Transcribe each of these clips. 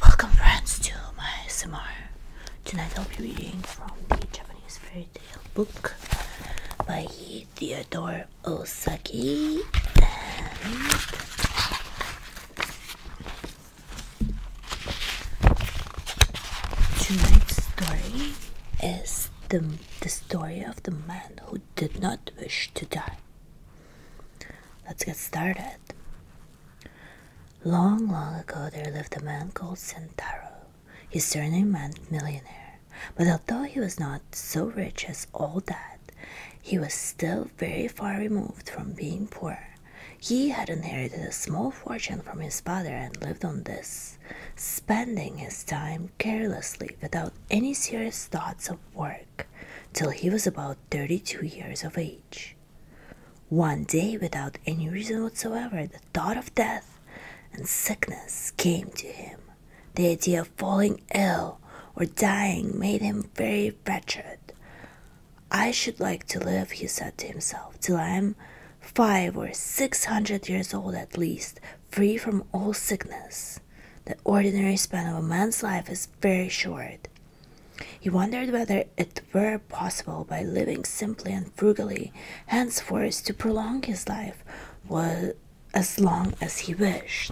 Welcome friends to my SMR. Tonight I'll be reading from the Japanese fairy tale book by Theodore Osaki and tonight's story is the, the story of the man who did not wish to die. Let's get started. Long, long ago there lived a man called Sentaro. His surname meant millionaire, but although he was not so rich as all that, he was still very far removed from being poor. He had inherited a small fortune from his father and lived on this, spending his time carelessly without any serious thoughts of work till he was about 32 years of age. One day, without any reason whatsoever, the thought of death and sickness came to him. The idea of falling ill or dying made him very wretched. I should like to live, he said to himself, till I am five or six hundred years old at least, free from all sickness. The ordinary span of a man's life is very short. He wondered whether it were possible by living simply and frugally henceforth to prolong his life was as long as he wished.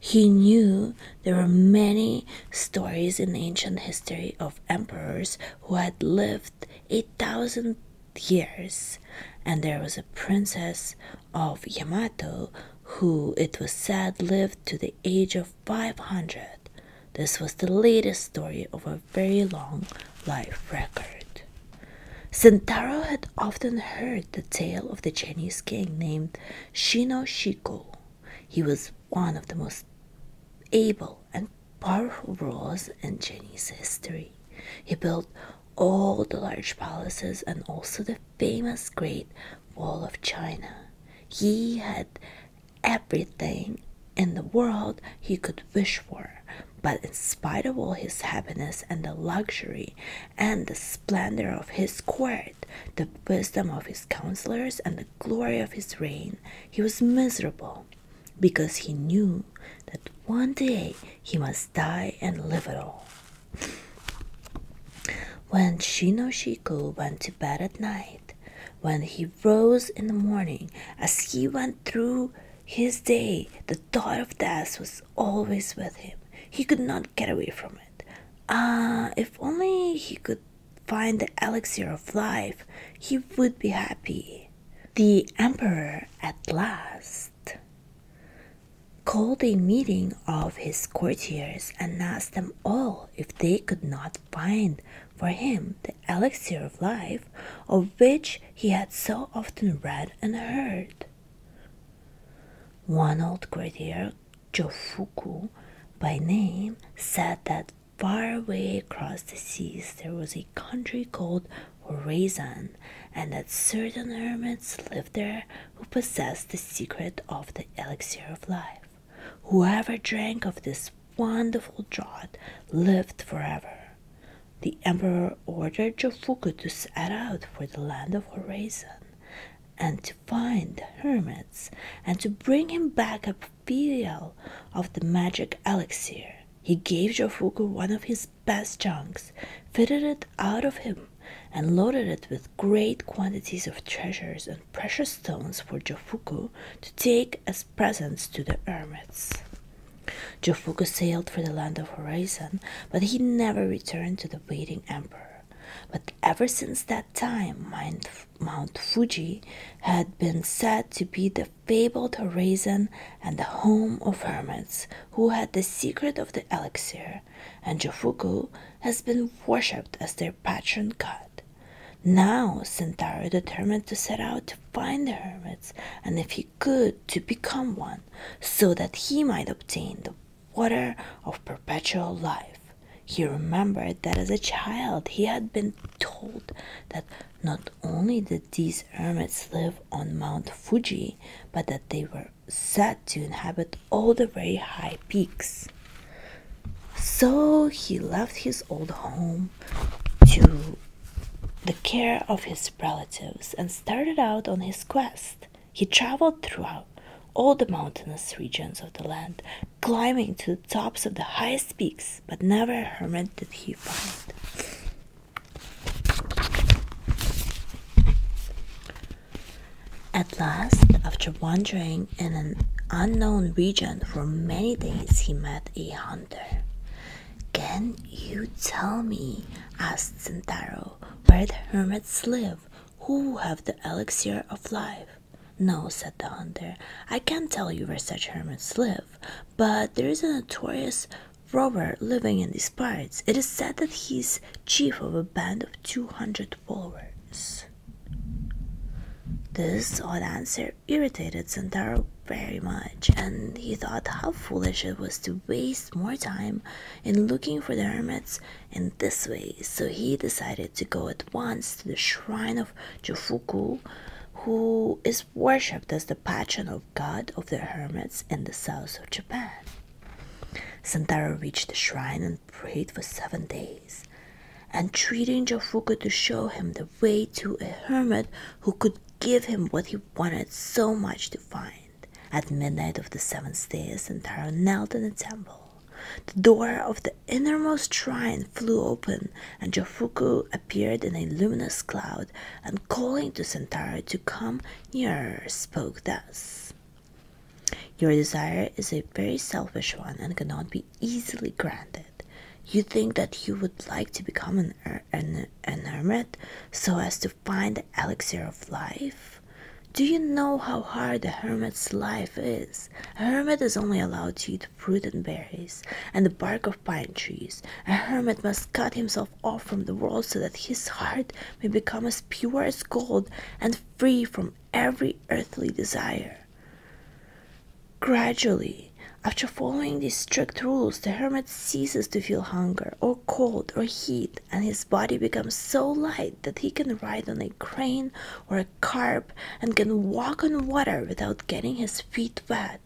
He knew there were many stories in ancient history of emperors who had lived a thousand years, and there was a princess of Yamato who, it was said, lived to the age of 500. This was the latest story of a very long life record. Sentaro had often heard the tale of the Chinese king named Shino Shiko. He was one of the most able and powerful rulers in Chinese history. He built all the large palaces and also the famous Great Wall of China. He had everything in the world he could wish for, but in spite of all his happiness and the luxury and the splendor of his court, the wisdom of his counselors, and the glory of his reign, he was miserable because he knew that one day he must die and live it all. When Shinoshiko went to bed at night, when he rose in the morning, as he went through his day, the thought of death was always with him. He could not get away from it. Ah, if only he could find the elixir of life, he would be happy. The emperor at last called a meeting of his courtiers and asked them all if they could not find for him the elixir of life of which he had so often read and heard. One old courtier, Jofuku by name, said that far away across the seas there was a country called Horizon, and that certain hermits lived there who possessed the secret of the elixir of life. Whoever drank of this wonderful draught lived forever. The emperor ordered Jofuku to set out for the land of Horizon and to find hermits and to bring him back a vial of the magic elixir. He gave Jofuku one of his best junks, fitted it out of him and loaded it with great quantities of treasures and precious stones for Jofuku to take as presents to the hermits. Jofuku sailed for the land of Horizon, but he never returned to the waiting emperor. But ever since that time, Mount Fuji had been said to be the fabled horizon and the home of hermits who had the secret of the elixir, and Jofuku has been worshipped as their patron god. Now Sentaro determined to set out to find the hermits, and if he could, to become one, so that he might obtain the water of perpetual life. He remembered that as a child he had been told that not only did these hermits live on Mount Fuji, but that they were said to inhabit all the very high peaks. So he left his old home to the care of his relatives and started out on his quest. He traveled throughout all the mountainous regions of the land, climbing to the tops of the highest peaks, but never a hermit did he find. At last, after wandering in an unknown region for many days, he met a hunter. Can you tell me, asked Sentaro, where the hermits live, who have the elixir of life? No, said the hunter, I can't tell you where such hermits live, but there is a notorious robber living in these parts. It is said that he is chief of a band of 200 forwards. This odd answer irritated Santaro very much, and he thought how foolish it was to waste more time in looking for the hermits in this way, so he decided to go at once to the shrine of Jufuku, who is worshipped as the patron of god of the hermits in the south of Japan. Santaro reached the shrine prayed for seven days, entreating Jofuku to show him the way to a hermit who could give him what he wanted so much to find. At midnight of the seventh day, Sentaro knelt in the temple. The door of the innermost shrine flew open, and Jofuku appeared in a luminous cloud, and calling to Sentaro to come nearer, spoke thus. Your desire is a very selfish one and cannot be easily granted. You think that you would like to become an, er-, an, an hermit so as to find the elixir of life? Do you know how hard a hermit's life is? A hermit is only allowed to eat fruit and berries and the bark of pine trees. A hermit must cut himself off from the world so that his heart may become as pure as gold and free from every earthly desire. Gradually, after following these strict rules, the hermit ceases to feel hunger or cold or heat, and his body becomes so light that he can ride on a crane or a carp and can walk on water without getting his feet wet.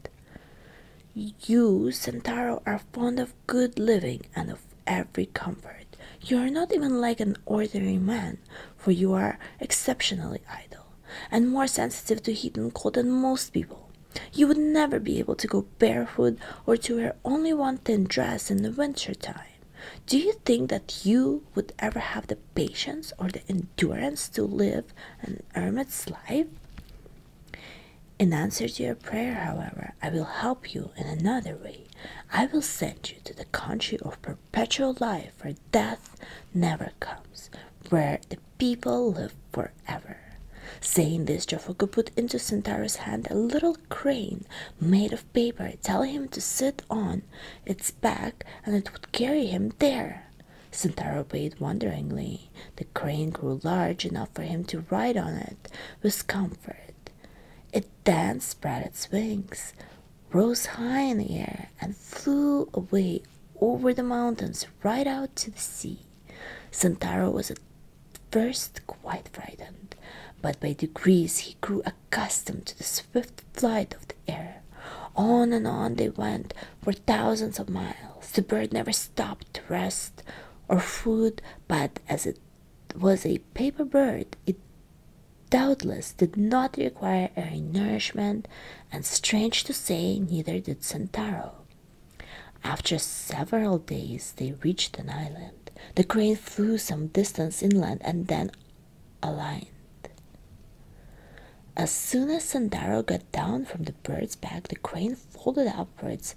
You, Sentaro, are fond of good living and of every comfort. You are not even like an ordinary man, for you are exceptionally idle and more sensitive to heat and cold than most people. You would never be able to go barefoot or to wear only one thin dress in the winter time. Do you think that you would ever have the patience or the endurance to live an hermit's life? In answer to your prayer, however, I will help you in another way. I will send you to the country of perpetual life where death never comes, where the people live forever. Saying this, Jofuku put into Centaurus' hand a little crane made of paper, telling him to sit on its back and it would carry him there. Centaur obeyed wonderingly. The crane grew large enough for him to ride on it with comfort. It then spread its wings, rose high in the air, and flew away over the mountains right out to the sea. Santaro was at first quite frightened, but by degrees he grew accustomed to the swift flight of the air. On and on they went for thousands of miles. The bird never stopped to rest or food, but as it was a paper bird, it doubtless did not require any nourishment, and strange to say, neither did Sentaro. After several days, they reached an island. The crane flew some distance inland and then aligned. As soon as Sandaro got down from the bird's back, the crane folded upwards,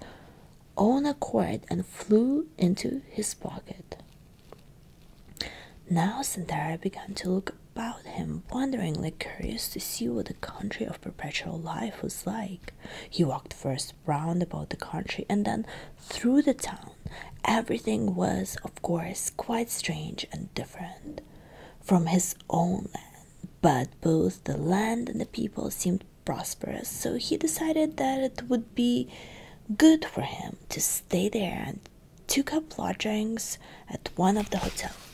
on a own and flew into his pocket. Now Sandara began to look about him, wonderingly curious to see what the country of perpetual life was like. He walked first round about the country and then through the town. Everything was, of course, quite strange and different from his own land, but both the land and the people seemed prosperous, so he decided that it would be Good for him to stay there and took up lodgings at one of the hotels.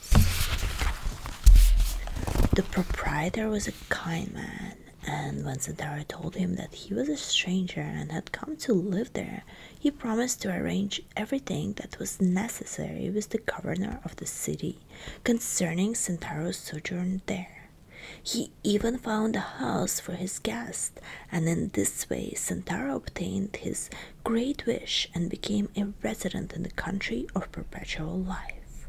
The proprietor was a kind man, and when Sentaro told him that he was a stranger and had come to live there, he promised to arrange everything that was necessary with the governor of the city concerning Sentaro's sojourn there. He even found a house for his guest, and in this way Santaro obtained his great wish and became a resident in the country of perpetual life.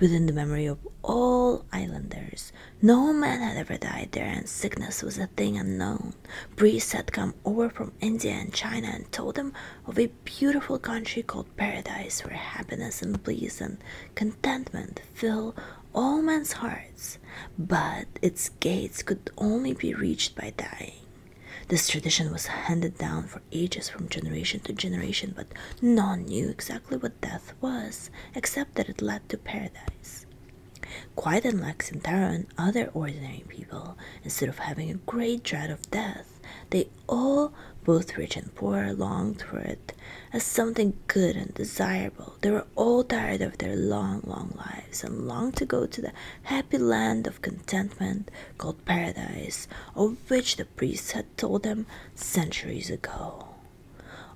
Within the memory of all islanders, no man had ever died there, and sickness was a thing unknown. Priests had come over from India and China and told them of a beautiful country called Paradise, where happiness and bliss and contentment fill all men's hearts, but its gates could only be reached by dying. This tradition was handed down for ages from generation to generation, but none knew exactly what death was, except that it led to paradise. Quite unlike Sintaro and other ordinary people, instead of having a great dread of death, they all, both rich and poor, longed for it as something good and desirable they were all tired of their long, long lives and longed to go to the happy land of contentment called paradise, of which the priests had told them centuries ago.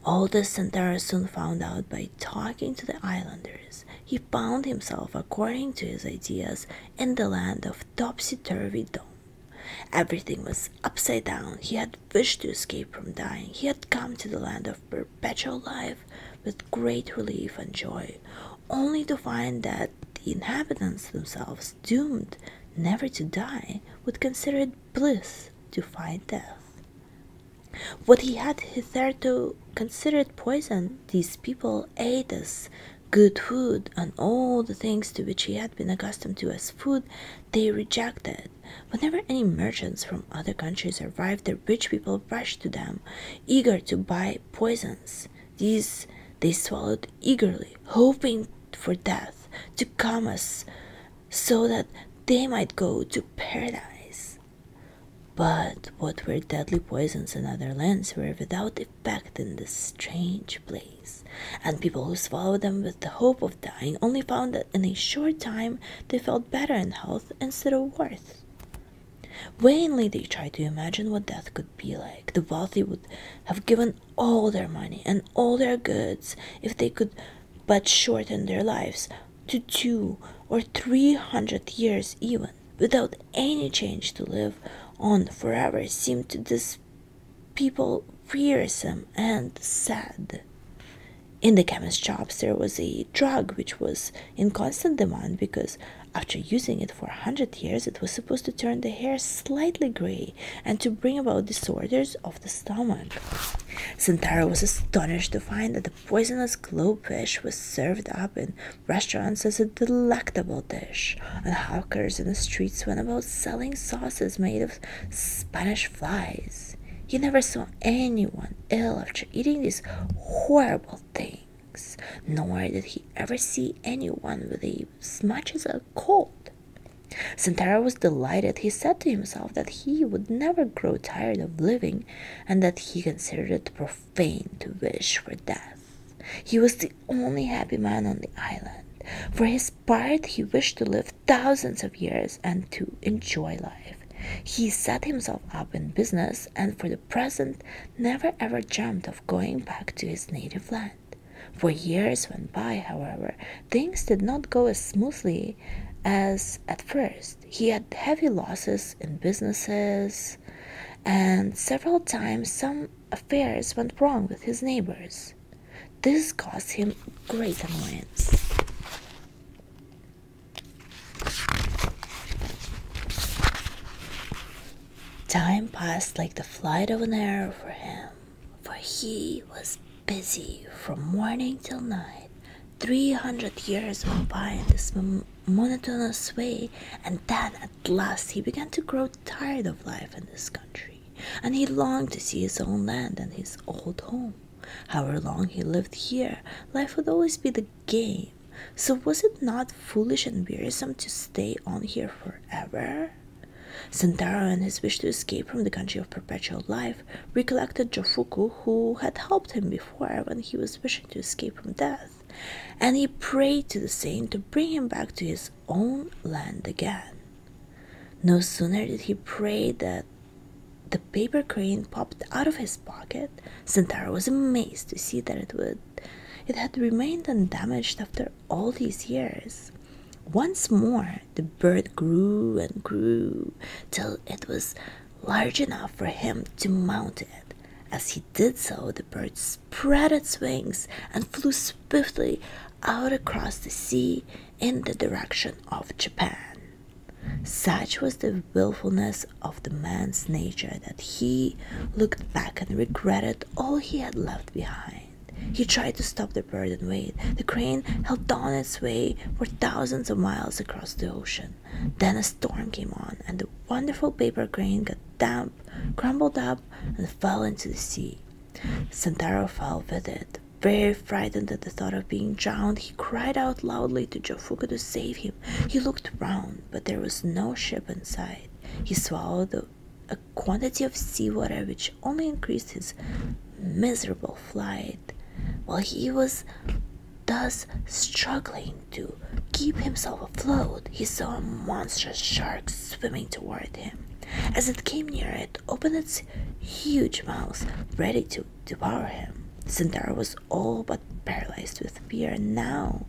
All this Santara soon found out by talking to the islanders. He found himself, according to his ideas, in the land of topsy turvydom Everything was upside down. He had wished to escape from dying. He had come to the land of perpetual life with great relief and joy, only to find that the inhabitants themselves, doomed never to die, would consider it bliss to find death. What he had hitherto considered poison, these people ate as good food, and all the things to which he had been accustomed to as food they rejected. Whenever any merchants from other countries arrived, the rich people rushed to them, eager to buy poisons. These they swallowed eagerly, hoping for death to come us so that they might go to paradise. But what were deadly poisons in other lands were without effect in this strange place, and people who swallowed them with the hope of dying only found that in a short time they felt better in health instead of worse. Vainly they tried to imagine what death could be like. The wealthy would have given all their money and all their goods if they could but shorten their lives to two or three hundred years even, without any change to live on forever seemed to these people wearisome and sad. In the chemist shops, there was a drug which was in constant demand because after using it for a hundred years, it was supposed to turn the hair slightly gray and to bring about disorders of the stomach. Santara was astonished to find that the poisonous glowfish was served up in restaurants as a delectable dish, and hawkers in the streets went about selling sauces made of Spanish flies. He never saw anyone ill after eating these horrible things, nor did he ever see anyone with much as a cold. Santara was delighted. He said to himself that he would never grow tired of living and that he considered it profane to wish for death. He was the only happy man on the island, for his inspired, he wished to live thousands of years and to enjoy life. He set himself up in business and for the present never ever dreamed of going back to his native land. For years went by, however, things did not go as smoothly as at first. He had heavy losses in businesses, and several times some affairs went wrong with his neighbors. This caused him great annoyance. Time passed like the flight of an arrow for him, for he was busy from morning till night. Three hundred years went by in this monotonous way, and then at last he began to grow tired of life in this country, and he longed to see his own land and his old home. However long he lived here, life would always be the game. So was it not foolish and wearisome to stay on here forever? Sentaro and his wish to escape from the country of perpetual life recollected Jofuku, who had helped him before when he was wishing to escape from death, and he prayed to the saint to bring him back to his own land again. No sooner did he pray that the paper crane popped out of his pocket. Centaur was amazed to see that it would it had remained undamaged after all these years. Once more the bird grew and grew till it was large enough for him to mount it. As he did so, the bird spread its wings and flew swiftly out across the sea in the direction of Japan. Such was the wilfulness of the man's nature that he looked back and regretted all he had left behind. He tried to stop the bird and wait. The crane held on its way for thousands of miles across the ocean. Then a storm came on, and the wonderful paper crane got damp, crumbled up, and fell into the sea. Santaro fell with it. Very frightened at the thought of being drowned, he cried out loudly to Jofuku to save him. He looked round, but there was no ship in sight. He swallowed a, a quantity of seawater which only increased his miserable flight. While he was thus struggling to keep himself afloat, he saw a monstrous shark swimming toward him. As it came near, it opened its huge mouth ready to devour him. Centaur was all but paralyzed with fear now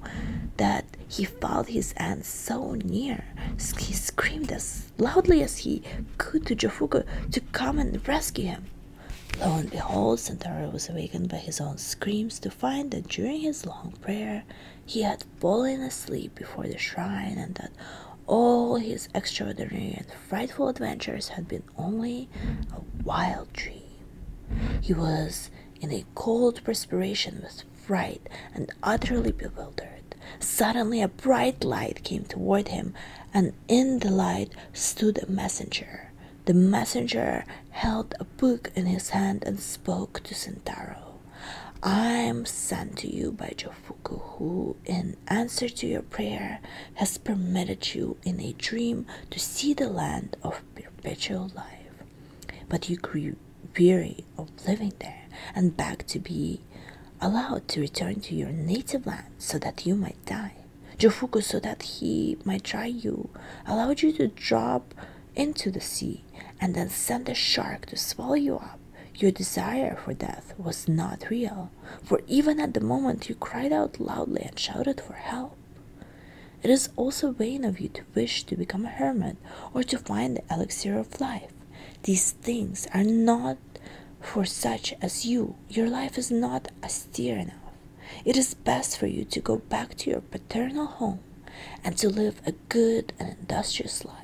that he felt his end so near. He screamed as loudly as he could to Jofuku to come and rescue him. Lo and behold, Centaur was awakened by his own screams to find that during his long prayer he had fallen asleep before the shrine and that all his extraordinary frightful adventures had been only a wild dream. He was in a cold perspiration with fright and utterly bewildered. Suddenly, a bright light came toward him, and in the light stood a messenger. The messenger held a book in his hand and spoke to Sentaro. I am sent to you by Jofuku, who in answer to your prayer, has permitted you in a dream to see the land of perpetual life. But you grew weary of living there and begged to be allowed to return to your native land so that you might die. Jofuku, so that he might try you, allowed you to drop into the sea and then sent a shark to swallow you up. Your desire for death was not real, for even at the moment you cried out loudly and shouted for help. It is also vain of you to wish to become a hermit or to find the elixir of life. These things are not for such as you. Your life is not austere enough. It is best for you to go back to your paternal home and to live a good and industrious life.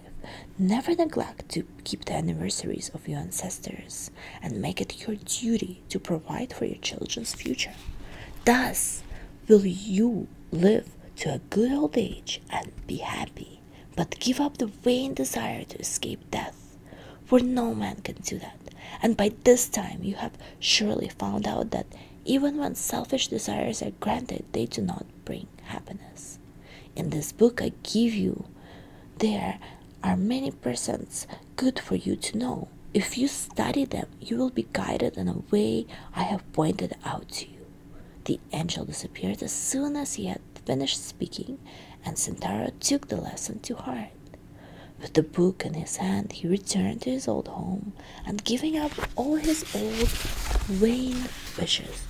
Never neglect keep the anniversaries of your ancestors and make it your duty to provide for your children's future. Thus, will you live to a good old age and be happy, but give up the vain desire to escape death, for no man can do that. And by this time, you have surely found out that even when selfish desires are granted, they do not bring happiness. In this book I give you, there are many presents good for you to know. If you study them, you will be guided in a way I have pointed out to you. The angel disappeared as soon as he had finished speaking, and Sentaro took the lesson to heart. With the book in his hand, he returned to his old home and, giving up all his old vain wishes,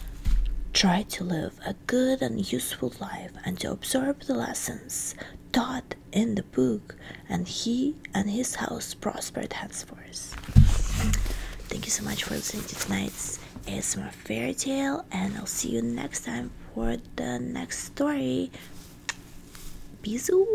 tried to live a good and useful life and to absorb the lessons taught in the book, and he and his house prospered henceforth. Thank you so much for listening to tonight's ASMR fairy tale, and I'll see you next time for the next story. Bisous!